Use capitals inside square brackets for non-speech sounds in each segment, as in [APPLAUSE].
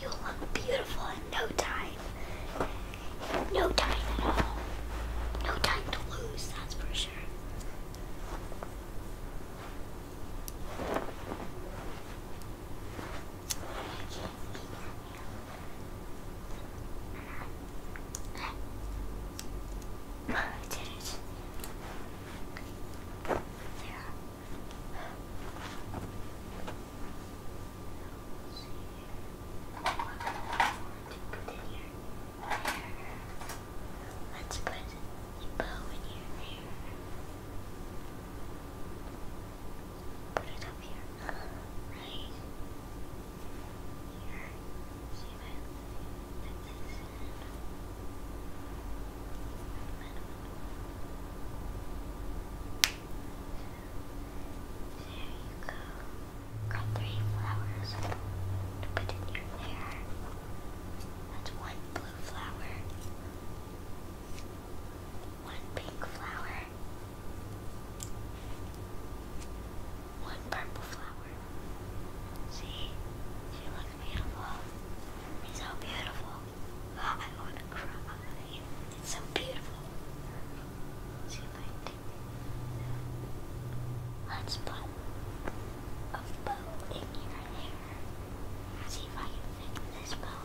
You'll look beautiful in no time. No time at all. No time to lose, that's for sure. I did it. There. Let's put a bow in here. There. Put it up here. Right go. Got three flowers to put in your hair. That's one blue flower, one pink flower, one purple flower. See? She looks beautiful. It's so beautiful. [GASPS] I want to cry. It's so beautiful. See if I Let's put a bow in your hair. See if I can fix this bow.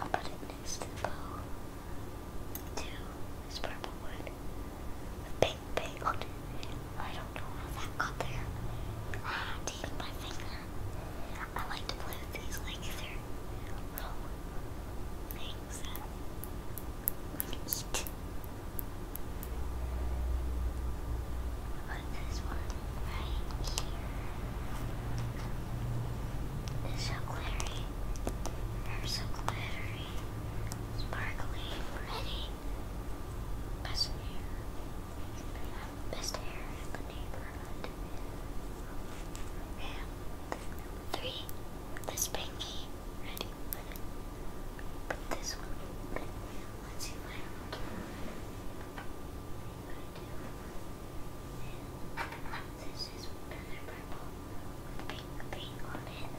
I'll put it next to the bowl. Two is purple wood. The big, big wood. I don't know how that got there. Ah, tape my finger. I like to play with these like they little things that we can eat. this one right here. It's so glittery. they so glittery, sparkly, pretty. Best hair. Best hair in the neighborhood. And This pinky. Ready? Put this one this is another purple with pink thing on it.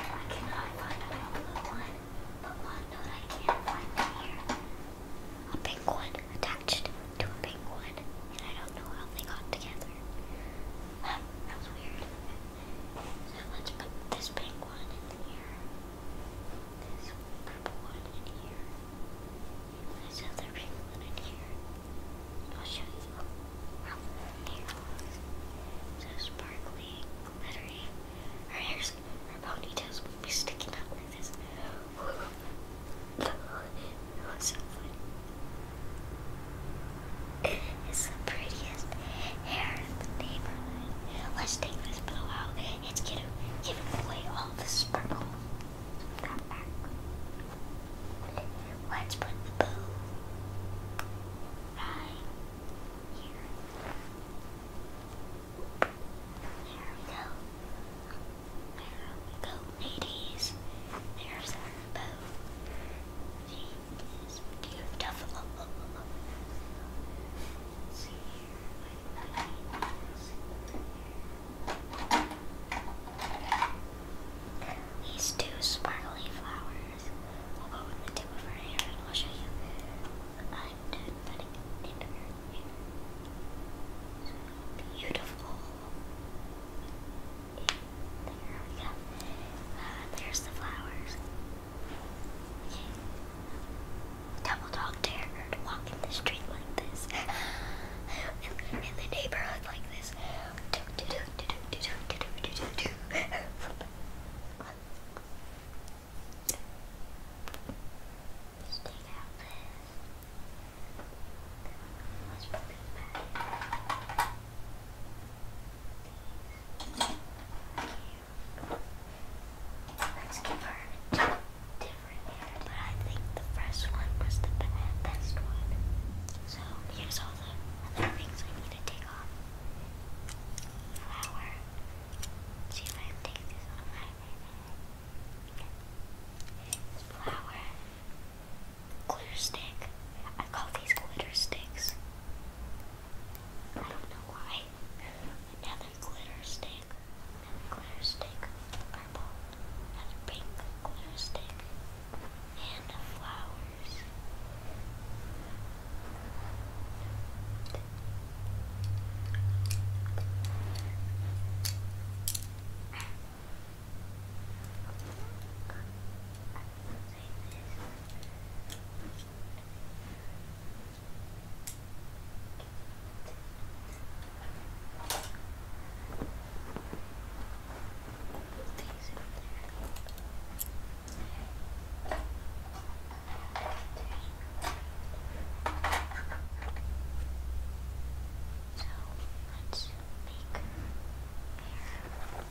I cannot find my blue one, but one note I can find here. A pink one attached to a pink one, and I don't know how they got together. Um, [LAUGHS] weird. So let's put this pink one in here, this purple one in here, this other pink one in here. I'll show you how the hair sparkly, glittery. Her hair's, her ponytails will be sticking out like this. [LAUGHS] that was so fun. It's the prettiest hair in the neighborhood. Let's take this pillow out. It's gonna give away all the sparkle. Let's put the boo right here. There we go. There we go, ladies. There's our boo you have developed. These two sparkly flowers will go with the tip of her hair, and I'll show you. I'm done putting beautiful. There we go. Uh, there's the flowers. Double dog dare her to walk in the street like this, [LAUGHS] in, in the neighborhood like this. [LAUGHS] Let's give her a different hair, but I think the first one was the best one. So here's all the other things I need to take off. Flower. see if I can take this on Flower. Glitter stick. I call these glitter sticks. I do Another glitter stick. Another glitter stick. Purple. Another pink glitter stick. And the flowers. So let's make hair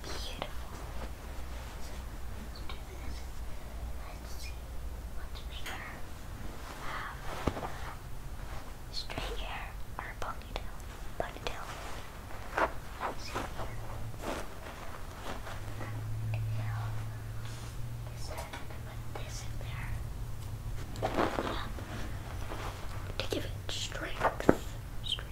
beautiful. Let's do this. Let's see what's bigger. Um, straight hair or ponytail? Ponytail. Let's see here. And now, put this in there? Yeah. To give it strength. Strength.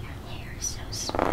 Your hair is so smooth.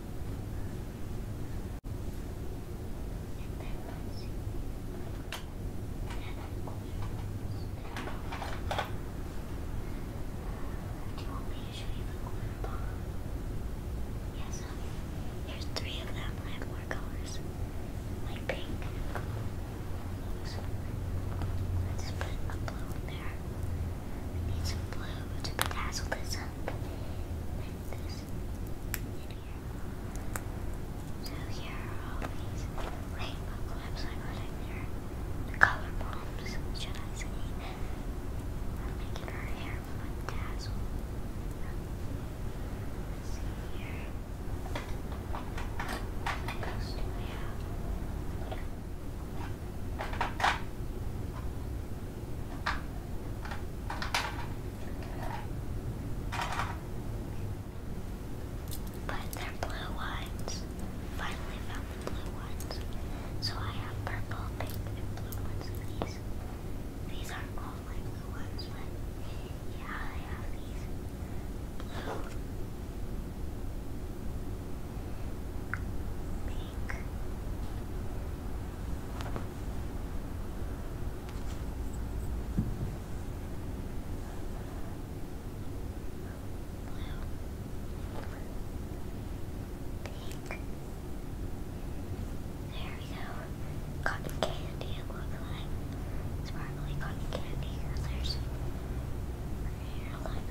Do you want me to show you the glitter bomb? Yes, There's three of them. I have more colors. Like pink. Let's put a blue there. We need some blue able to bedazzle this up with this in here. So here are rainbow clips I got in here. The color bombs, should I say. I'm making her hair bedazzled. Let's see here. What else do I have? But they're blue ones. Finally found the blue ones. So I have purple, pink, and blue ones these. These aren't all my blue ones, but yeah, I have these. There we go. Cotton candy, it looks like. Sparkly cotton candy colors. here, like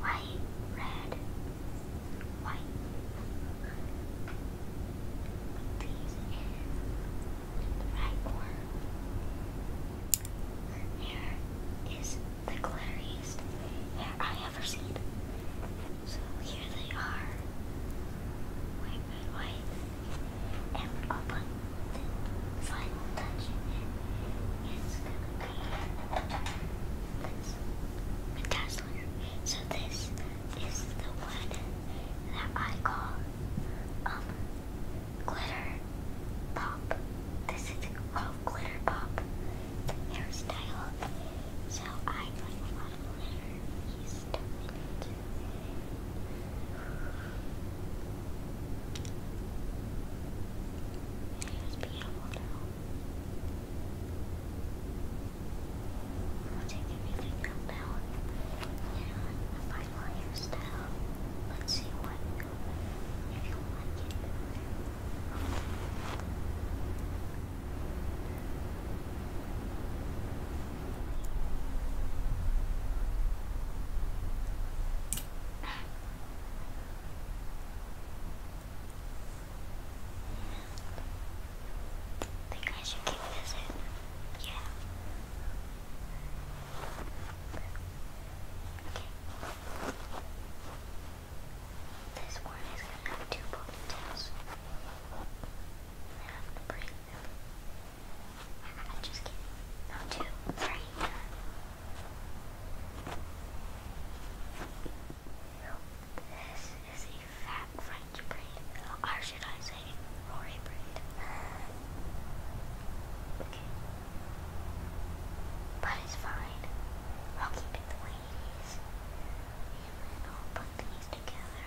White, red, white. These is the right one. Here is the clearest hair I ever seen. So here they are and white and open the fine touch it's gonna be this metasler. So this is the one that I call um glitter pop. This is called glitter pop hairstyle. So I like a lot of glitter. It's beautiful now. I'll take everything up down and my hairstyle. Let's see what if you like it. I think I should keep this in. Yeah. Okay. This one is gonna have two ponytails. I have to break I'm just kidding. This is a fat French braid, or should I say, Rory braid. But it's fine. I'll keep it the way And then I'll put these together.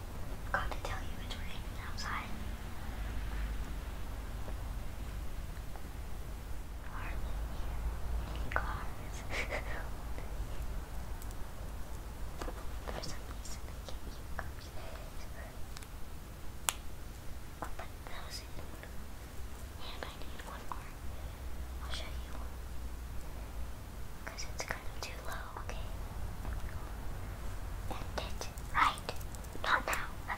Forgot to tell you it's raining outside. Hardly cars. [LAUGHS] For some reason, I can't hear cars. but that was it. And I need one more. I'll show you one. Because it's kind of too low okay. End it. Right. Not now.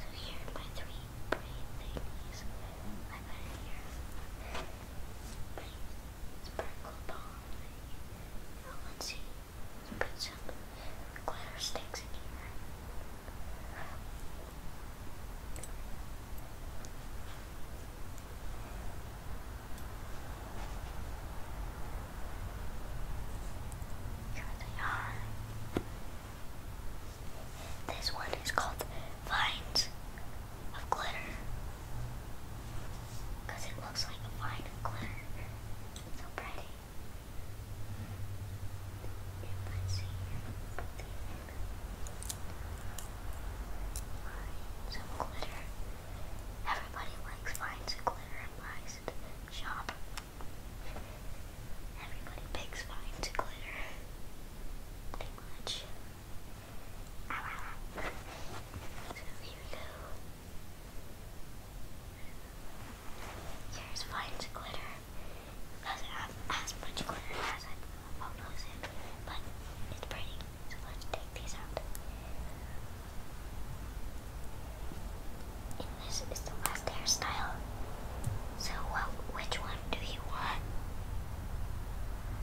so here are my three brain thingies. I got it here. Brain sparkle bomb thing. Now let's see. put some glitter sticks in here. Here they are. This one is called Vines of Glitter. it looks like a vine of glitter. It's so pretty. You might see. Finds and glitter. Everybody likes finds glitter and buys at the shop. Everybody picks finds glitter. Pretty much. Ow, here we go. Here's finds glitter. Doesn't have as much glitter as I photos in, but it's pretty. So let's take these out. And this is the last hairstyle. So which one do you want?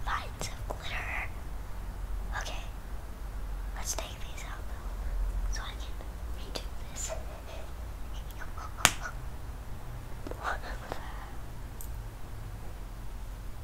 Lines of glitter. Okay. Let's take these out So I can redo this. [LAUGHS]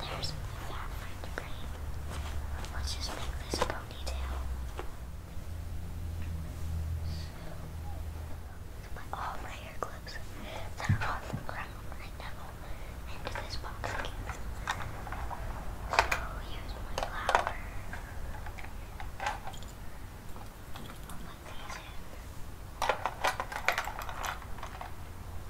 There's the fat friend's Let's just make this a ponytail. So, put all my hair clips that are on the ground right into this box So here's my flower. I'll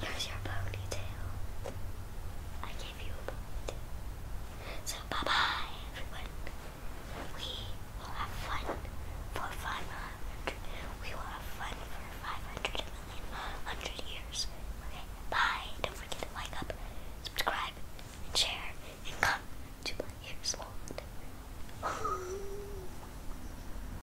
Here's your ponytail. I gave you a ponytail. So bye bye, everyone. We will have fun for 500. We will have fun for 500 million hundred years. Okay, bye. Don't forget to like up, subscribe, and share, and come to my ears, [LAUGHS]